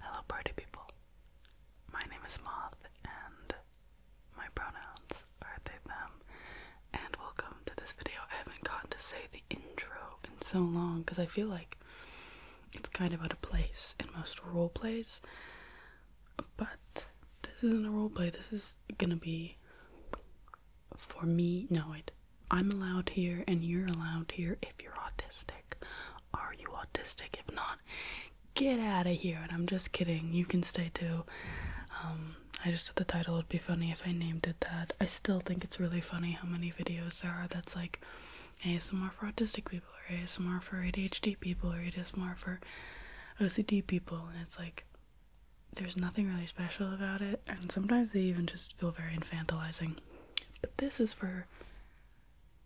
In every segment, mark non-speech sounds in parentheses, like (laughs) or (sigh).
Hello, party people. My name is Moth, and my pronouns are they, them, and welcome to this video. I haven't gotten to say the intro in so long because I feel like it's kind of out of place in most role plays, but this isn't a role play, this is gonna be for me, no, it, I'm allowed here and you're allowed here if you're autistic. Are you autistic? If not, get out of here. And I'm just kidding, you can stay too. Um, I just thought the title would be funny if I named it that. I still think it's really funny how many videos there are that's like ASMR for autistic people, or ASMR for ADHD people, or ASMR for OCD people, and it's like there's nothing really special about it and sometimes they even just feel very infantilizing. But this is for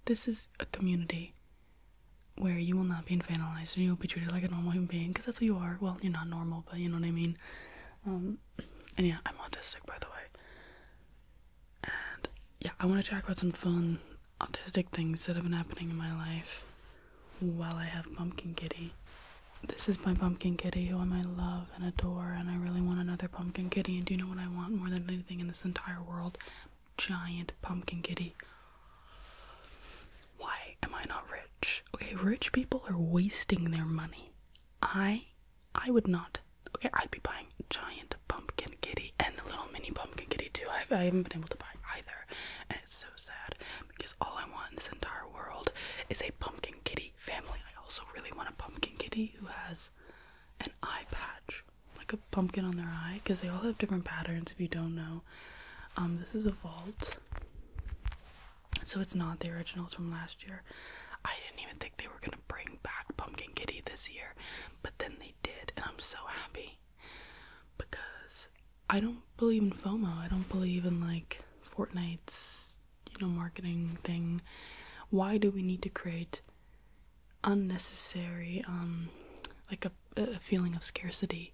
this is a community where you will not be infantilized and you'll be treated like a normal human being because that's who you are. Well, you're not normal, but you know what I mean. Um, and yeah, I'm autistic, by the way. And yeah, I want to talk about some fun autistic things that have been happening in my life while I have Pumpkin Kitty this is my pumpkin kitty who I love and adore, and I really want another pumpkin kitty. And do you know what I want more than anything in this entire world? Giant pumpkin kitty. Why am I not rich? Okay, rich people are wasting their money. I I would not. Okay, I'd be buying giant pumpkin kitty and the little mini pumpkin kitty too. I've, I i have not been able to buy either, and it's so sad because all I want in this entire world is a pumpkin kitty family. I also really want a pumpkin kitty who has an eye patch, like a pumpkin on their eye, because they all have different patterns. If you don't know, um, this is a vault, so it's not the originals from last year. I didn't even think they were gonna bring back Pumpkin Kitty this year, but then they did, and I'm so happy because I don't believe in FOMO. I don't believe in like Fortnite's you know marketing thing why do we need to create unnecessary um like a, feeling of scarcity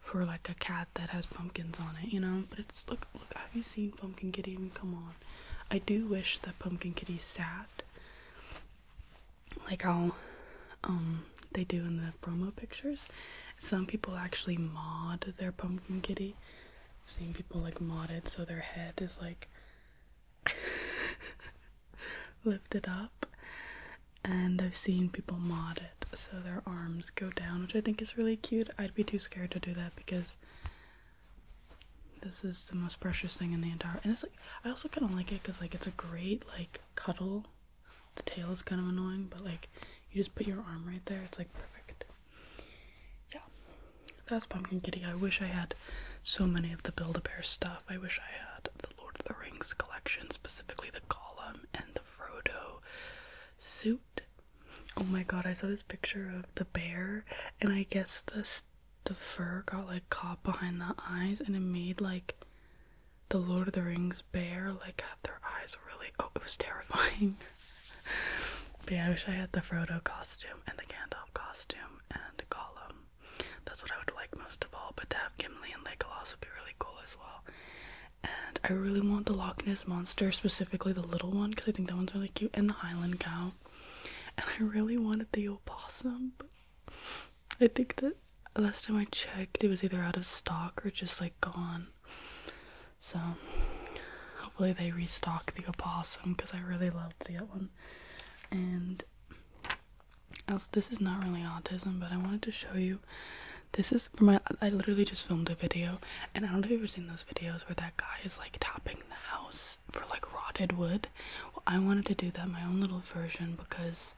for like a cat that has pumpkins on it you know but it's look look have you seen pumpkin kitty come on i do wish that pumpkin kitty sat like how um, they do in the promo pictures some people actually mod their pumpkin kitty seeing people like modded so their head is like (laughs) lifted up and I've seen people mod it so their arms go down which I think is really cute. I'd be too scared to do that because this is the most precious thing in the entire and it's like I also kind of like it because like it's a great like cuddle the tail is kind of annoying but like you just put your arm right there it's like perfect yeah, that's Pumpkin Kitty. I wish I had so many of the Build-A-Bear stuff. I wish I had the Lord of the Rings collection, specifically the Gollum and the Frodo suit. Oh my god, I saw this picture of the bear, and I guess the, the fur got like caught behind the eyes, and it made like the Lord of the Rings bear like their eyes were really. Oh, it was terrifying. (laughs) yeah, I wish I had the Frodo costume and the Gandalf costume and Gollum. That's what I would like most of all. But to have Gimli and Legolas would be really cool as well. And I really want the Loch Ness monster, specifically the little one, because I think that one's really cute, and the Highland cow. And I really wanted the opossum. But I think that last time I checked, it was either out of stock or just like gone. So hopefully they restock the opossum because I really love the other one. And also, this is not really autism, but I wanted to show you. This is for my. I literally just filmed a video, and I don't know if you've ever seen those videos where that guy is like tapping the house for like rotted wood. I wanted to do that my own little version because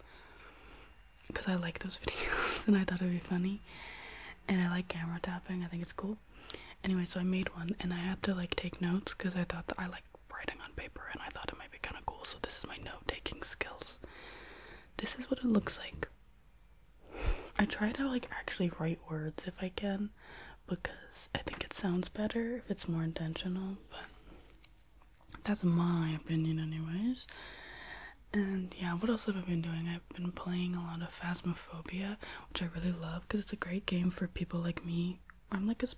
because I like those (laughs) videos and I thought it'd be funny and I like camera tapping, I think it's cool. Anyway, so I made one and I had to like take notes because I thought that I like writing on paper and I thought it might be kind of cool, so this is my note taking skills. This is what it looks like. I try to like actually write words if I can because I think it sounds better if it's more intentional, but that's my opinion, anyways. And yeah, what else have I been doing? I've been playing a lot of Phasmophobia, which I really love because it's a great game for people like me. I'm like, a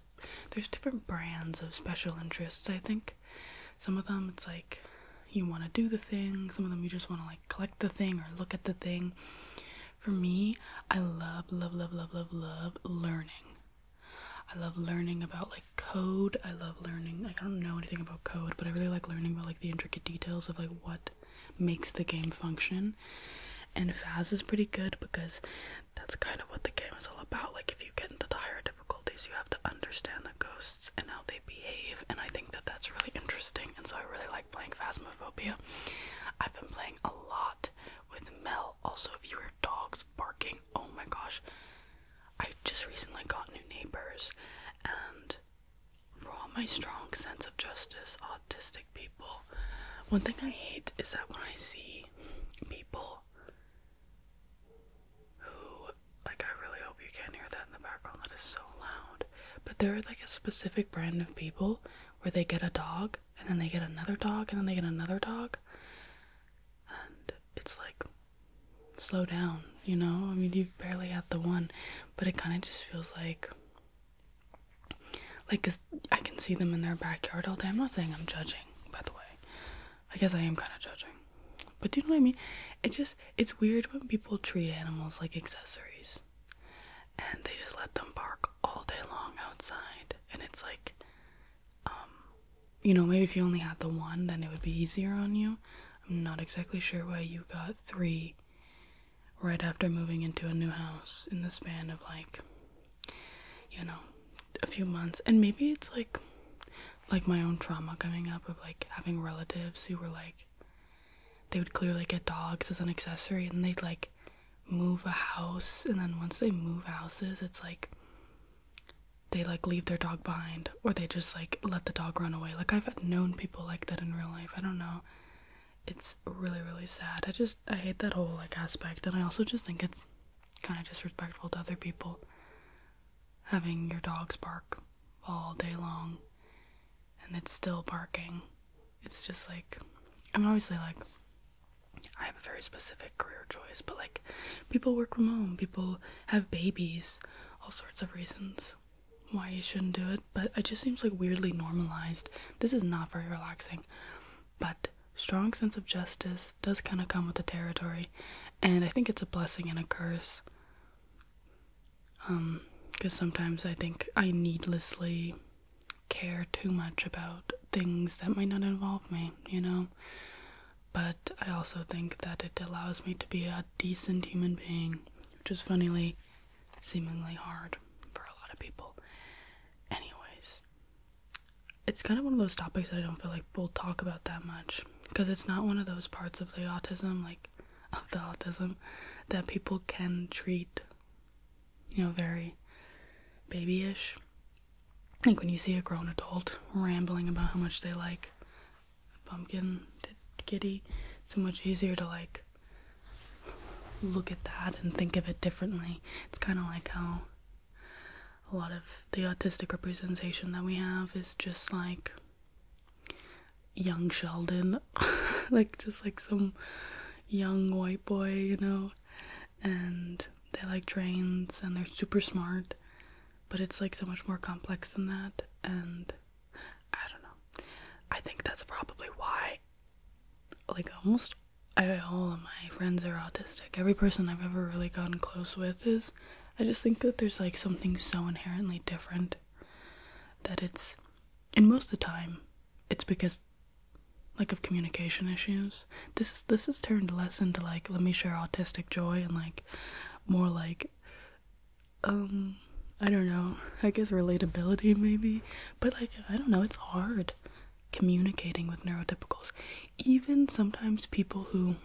there's different brands of special interests, I think. Some of them it's like you want to do the thing, some of them you just want to like collect the thing or look at the thing. For me, I love, love, love, love, love, love learning. I love learning about like code. I love learning. I don't know anything about code, but I really like learning about like the intricacies details of like what makes the game function. And Faz is pretty good because that's kind of what the game is all about. Like if you get into the higher difficulties, you have to understand the ghosts and how they behave, and I think that that's really interesting. And so I really like playing Phasmophobia. I've been playing a lot with Mel. Also, if you hear dogs barking, oh my gosh. I just recently got new neighbors and for all my strong sense of justice, autistic people, one thing I hate is that when I see people who, like, I really hope you can't hear that in the background, that is so loud, but there are like a specific brand of people where they get a dog and then they get another dog and then they get another dog, and it's like, slow down, you know? I mean, you barely had the one, but it kind of just feels like like cause I can see them in their backyard all day. I'm not saying I'm judging, by the way. I guess I am kind of judging. But do you know what I mean? It just it's weird when people treat animals like accessories. And they just let them bark all day long outside. And it's like um you know, maybe if you only had the one, then it would be easier on you. I'm not exactly sure why you got three right after moving into a new house in the span of like you know a few months and maybe it's like like my own trauma coming up of like having relatives who were like they would clearly get dogs as an accessory and they'd like move a house and then once they move houses it's like they like leave their dog behind or they just like let the dog run away. Like I've known people like that in real life. I don't know. It's really really sad. I just I hate that whole like aspect and I also just think it's kind of disrespectful to other people having your dogs bark all day long and it's still barking. It's just like I am obviously like I have a very specific career choice, but like people work from home, people have babies, all sorts of reasons why you shouldn't do it, but it just seems like weirdly normalized. This is not very relaxing, but strong sense of justice does kind of come with the territory, and I think it's a blessing and a curse. Um, because sometimes I think I needlessly care too much about things that might not involve me, you know but I also think that it allows me to be a decent human being, which is funnily seemingly hard for a lot of people. Anyways, it's kind of one of those topics that I don't feel like we'll talk about that much because it's not one of those parts of the autism, like (laughs) of the autism, that people can treat, you know, very babyish. I think when you see a grown adult rambling about how much they like pumpkin kitty so much easier to like look at that and think of it differently it's kind of like how a lot of the autistic representation that we have is just like young sheldon (laughs) like just like some young white boy you know and they like trains and they're super smart but it's like so much more complex than that, and I don't know. I think that's probably why, like, almost I, all of my friends are autistic. Every person I've ever really gotten close with is. I just think that there's like something so inherently different that it's, and most of the time, it's because like of communication issues. This is this has turned less into like let me share autistic joy and like more like um, I don't know, I guess relatability maybe, but like I don't know, it's hard communicating with neurotypicals. Even sometimes people who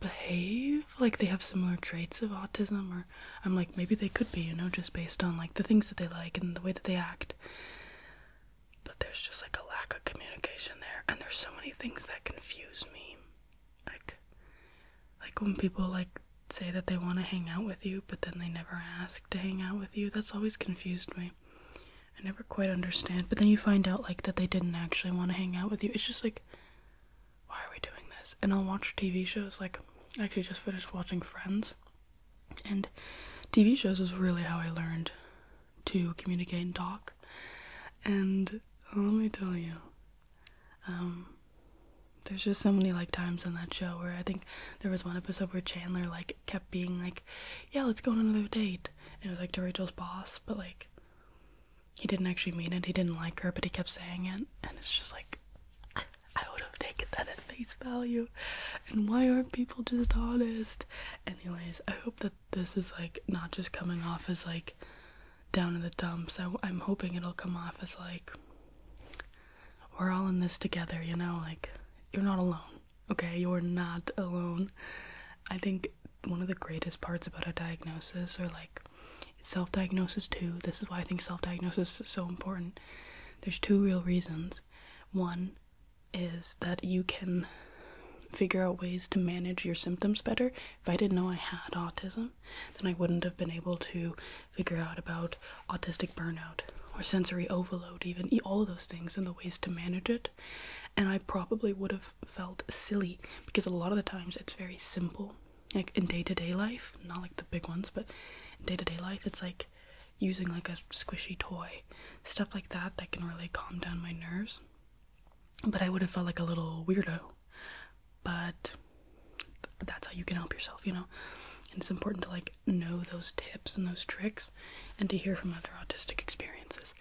behave like they have similar traits of autism or I'm like maybe they could be, you know, just based on like the things that they like and the way that they act. But there's just like a lack of communication there and there's so many things that confuse me. Like like when people like say that they want to hang out with you but then they never ask to hang out with you. That's always confused me. I never quite understand. But then you find out like that they didn't actually want to hang out with you. It's just like why are we doing this? And I'll watch TV shows like I actually just finished watching Friends. And TV shows is really how I learned to communicate and talk. And uh, let me tell you, um, there's just so many like times on that show where I think there was one episode where Chandler like kept being like, "Yeah, let's go on another date," and it was like to Rachel's boss, but like he didn't actually mean it. He didn't like her, but he kept saying it, and it's just like (laughs) I would have taken that at face value. And why aren't people just honest? Anyways, I hope that this is like not just coming off as like down in the dumps. I, I'm hoping it'll come off as like we're all in this together, you know? Like, you're not alone, okay? You're not alone. I think one of the greatest parts about a diagnosis or like self diagnosis, too, this is why I think self diagnosis is so important. There's two real reasons. One, is that you can figure out ways to manage your symptoms better. If I didn't know I had autism, then I wouldn't have been able to figure out about autistic burnout or sensory overload, even all those things and the ways to manage it. And I probably would have felt silly because a lot of the times it's very simple. Like in day to day life, not like the big ones, but in day to day life, it's like using like a squishy toy, stuff like that that can really calm down my nerves but I would have felt like a little weirdo. But that's how you can help yourself, you know? And it's important to like know those tips and those tricks and to hear from other autistic experiences.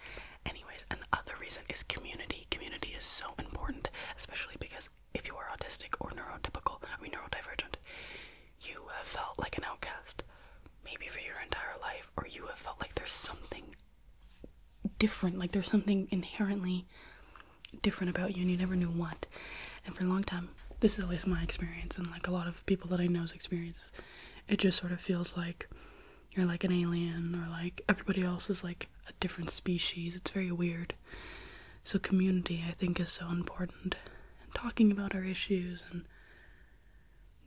Anyways, and the other reason is community. Community is so important, especially because if you are autistic or neurotypical, I mean neurodivergent, you have felt like an outcast maybe for your entire life, or you have felt like there's something different like there's something inherently different about you and you never knew what and for a long time this is at least my experience and like a lot of people that i know's experience it just sort of feels like you're like an alien or like everybody else is like a different species it's very weird so community i think is so important and talking about our issues and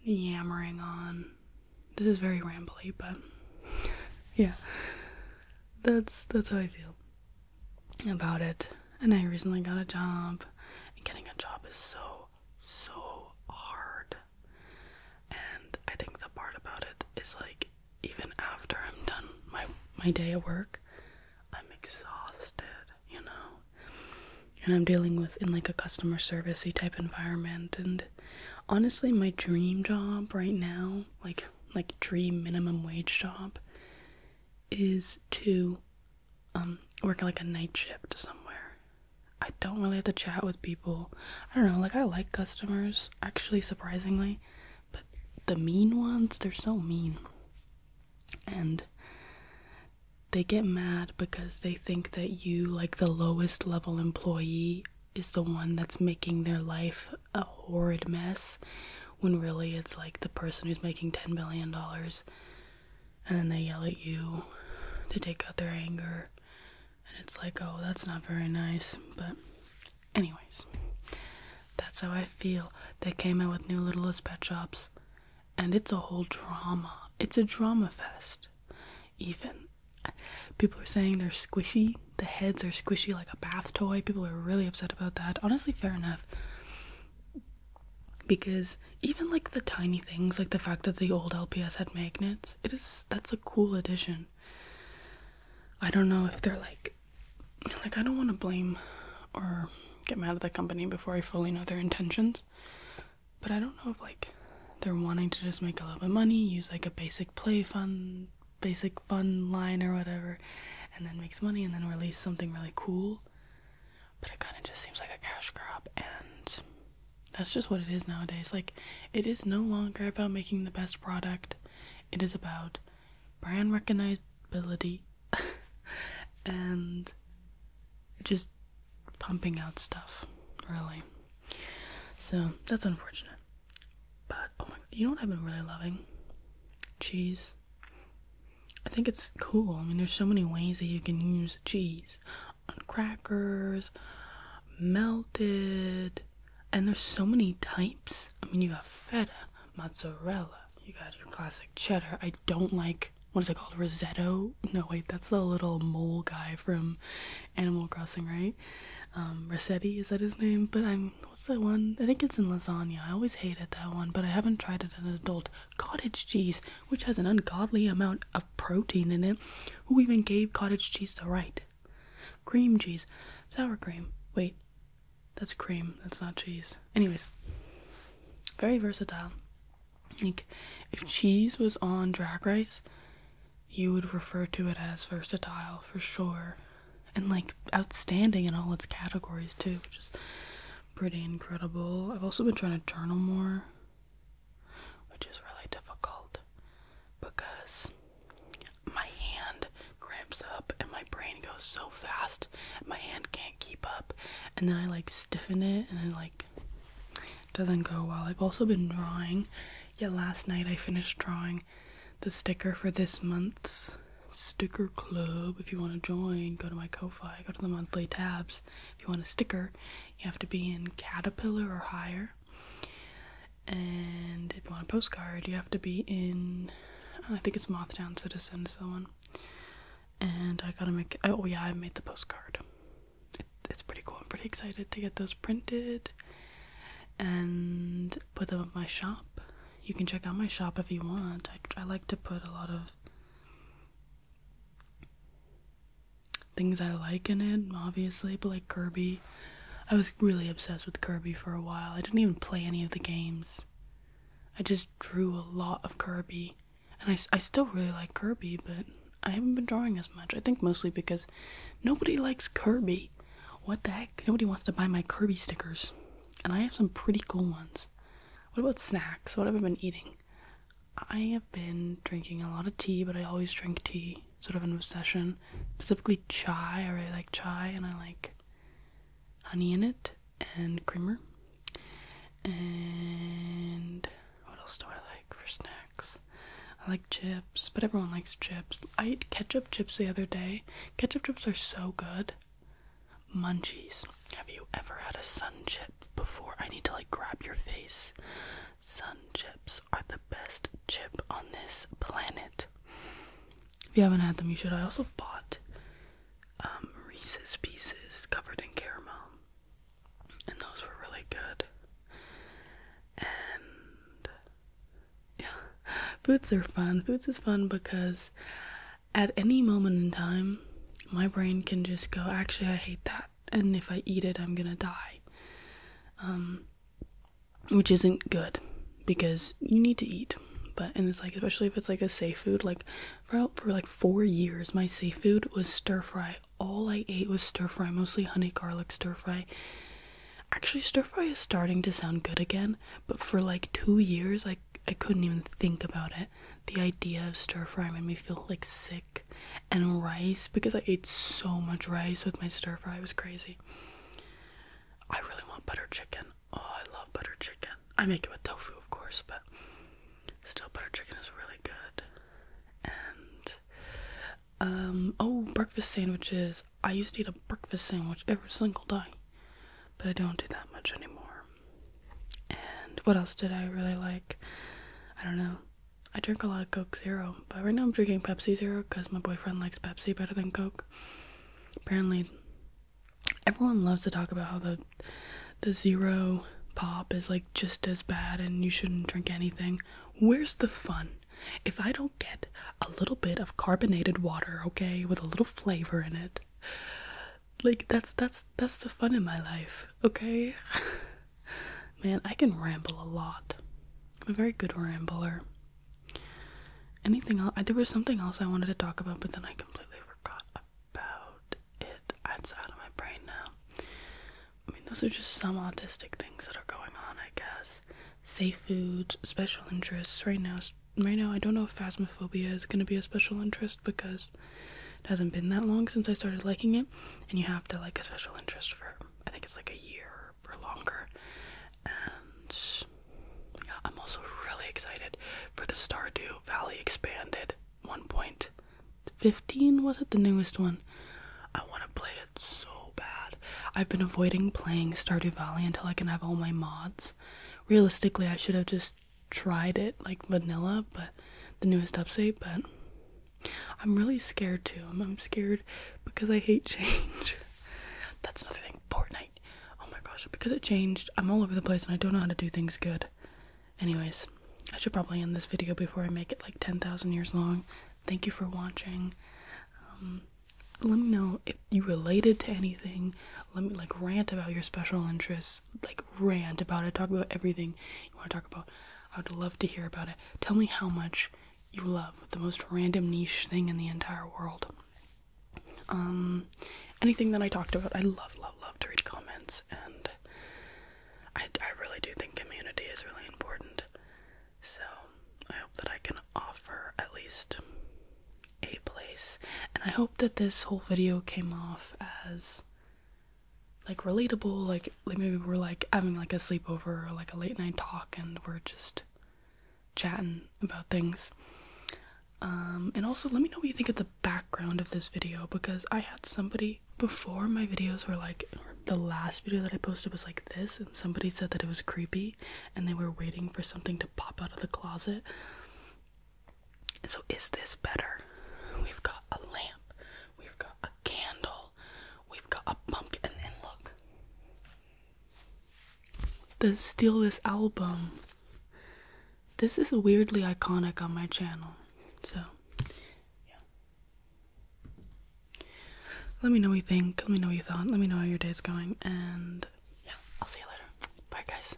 yammering on. This is very rambly, but (laughs) yeah. That's that's how I feel about it. And I recently got a job. And getting a job is so so hard. And I think the part about it is like even after I'm done my my day at work, I'm exhausted, you know and I'm dealing with in like a customer servicey type environment and honestly my dream job right now like like dream minimum wage job is to um work like a night shift somewhere. I don't really have to chat with people. I don't know, like I like customers actually surprisingly, but the mean ones, they're so mean. And they get mad because they think that you, like the lowest level employee, is the one that's making their life a horrid mess when really it's like the person who's making $10 billion and then they yell at you to take out their anger. And it's like, oh, that's not very nice. But, anyways, that's how I feel. They came out with new Littlest Pet Shops, and it's a whole drama. It's a drama fest even. People are saying they're squishy. The heads are squishy like a bath toy. People are really upset about that. Honestly, fair enough. Because even like the tiny things, like the fact that the old LPS had magnets, it is that's a cool addition. I don't know if they're like, like I don't want to blame or get mad at the company before I fully know their intentions. But I don't know if like they're wanting to just make a lot of money, use like a basic play fun, basic fun line or whatever, and then makes money and then release something really cool. But it kind of just seems like a cash crop, and that's just what it is nowadays. Like, it is no longer about making the best product, it is about brand recognizability (laughs) and just pumping out stuff, really. So that's unfortunate. But oh my, you know what I've been really loving? Cheese. I think it's cool. I mean, there's so many ways that you can use cheese on crackers, melted, and there's so many types. I mean, you got feta, mozzarella, you got your classic cheddar don't like what is it called? Rosetto? No, wait, that's the little mole guy from Animal Crossing, right? Um, Rossetti, is that his name? But I'm, what's that one? I think it's in lasagna. I always hated that one, but I haven't tried it An adult. Cottage cheese, which has an ungodly amount of protein in it. Who even gave cottage cheese the right? Cream cheese. Sour cream. Wait, that's cream. That's not cheese. Anyways, very versatile. Like, if cheese was on drag race, you would refer to it as versatile for sure. And like outstanding in all its categories too, which is pretty incredible. I've also been trying to journal more, which is really difficult because my hand cramps up and my brain goes so fast, my hand can't keep up and then I like stiffen it and it like doesn't go well. I've also been drawing. Yeah, last night I finished drawing the sticker for this month's sticker club. If you want to join, go to my Ko-fi, go to the monthly tabs. If you want a sticker, you have to be in Caterpillar or higher. And if you want a postcard, you have to be in I think it's Mothtown Citizen is the and I gotta make. Oh yeah, I made the postcard. it's pretty cool. I'm pretty excited to get those printed and put them in my shop. You can check out my shop if you want. I, I like to put a lot of things I like in it, obviously, but like Kirby. I was really obsessed with Kirby for a while. I didn't even play any of the games. I just drew a lot of Kirby and I, I still really like Kirby, but I haven't been drawing as much. I think mostly because nobody likes Kirby. What the heck? Nobody wants to buy my Kirby stickers. And I have some pretty cool ones. What about snacks? What have I been eating? I have been drinking a lot of tea, but I always drink tea. Sort of an obsession. Specifically chai. I really like chai and I like honey in it and creamer. And what else do I like for snacks? I like chips, but everyone likes chips. I ate ketchup chips the other day. Ketchup chips are so good. Munchies. Have you ever had a sun chip before? I need to like grab your face. Sun chips are the best chip on this planet. If you haven't had them, you should. I also bought um, Reese's Pieces covered in caramel, and those were really good. And yeah, (laughs) foods are fun. Foods is fun because at any moment in time, my brain can just go, actually, I hate that, and if I eat it, I'm gonna die. Um, which isn't good because you need to eat. But and it's like especially if it's like a safe food, like for, like four years my seafood was stir fry all i ate was stir fry mostly honey garlic stir fry actually stir fry is starting to sound good again but for like two years i I couldn't even think about it. The idea of stir fry made me feel like sick, and rice because I ate so much rice with my stir fry was crazy. I really want butter chicken. Oh, I love butter chicken. I make it with tofu, of course, but still, butter chicken is really good. And, um, oh, breakfast sandwiches. I used to eat a breakfast sandwich every single day, but I don't do that much anymore. And what else did I really like? I don't know. I drink a lot of Coke Zero, but right now I'm drinking Pepsi Zero because my boyfriend likes Pepsi better than Coke. Apparently, everyone loves to talk about how the the zero pop is like just as bad and you shouldn't drink anything. Where's the fun? If I don't get a little bit of carbonated water, okay, with a little flavor in it. Like that's that's that's the fun in my life, okay? (laughs) Man, I can ramble a lot. I'm a very good rambler. Anything else? There was something else I wanted to talk about, but then I completely forgot. I'm about it that's out of my brain now. I mean, those are just some autistic things that are going on, I guess. Safe foods, special interests. Right now, right now, I don't know if phasmophobia is going to be a special interest because it hasn't been that long since I started liking it, and you have to like a special interest for I think it's like a year or longer, and yeah, I'm also really excited for the Stardew Valley Expanded 1.15. Was it the newest one? I want to play it so bad. I've been avoiding playing Stardew Valley until I can have all my mods. Realistically, I should have just tried it like vanilla, but the newest update, but I'm really scared too. I'm, I'm scared because I hate (laughs) change. That's another thing. Fortnite oh my gosh, because it changed, I'm all over the place and I don't know how to do things good. Anyways, I should probably end this video before I make it like 10,000 years long. Thank you for watching. Um, let me know if you related to anything. Let me like rant about your special interest. Like rant about it. Talk about everything you want to talk about. I would love to hear about it. Tell me how much you love the most random niche thing in the entire world. Um, anything that I talked about, I love, love, love to read comments, and I, I really do think community is really important. So I hope that I can offer at least a place, and I hope that this whole video came off as like relatable. Like, like maybe we're like having like a sleepover or like a late night talk, and we're just chatting about things. Um, and also, let me know what you think of the background of this video because I had somebody before my videos were like the last video that I posted was like this, and somebody said that it was creepy and they were waiting for something to pop out of the closet. So, is this better? We've got a lamp, we've got a candle, we've got a pumpkin, and look, the steal this album this is weirdly iconic on my channel so yeah let me know what you think let me know what you thought let me know how your day is going and yeah i'll see you later bye guys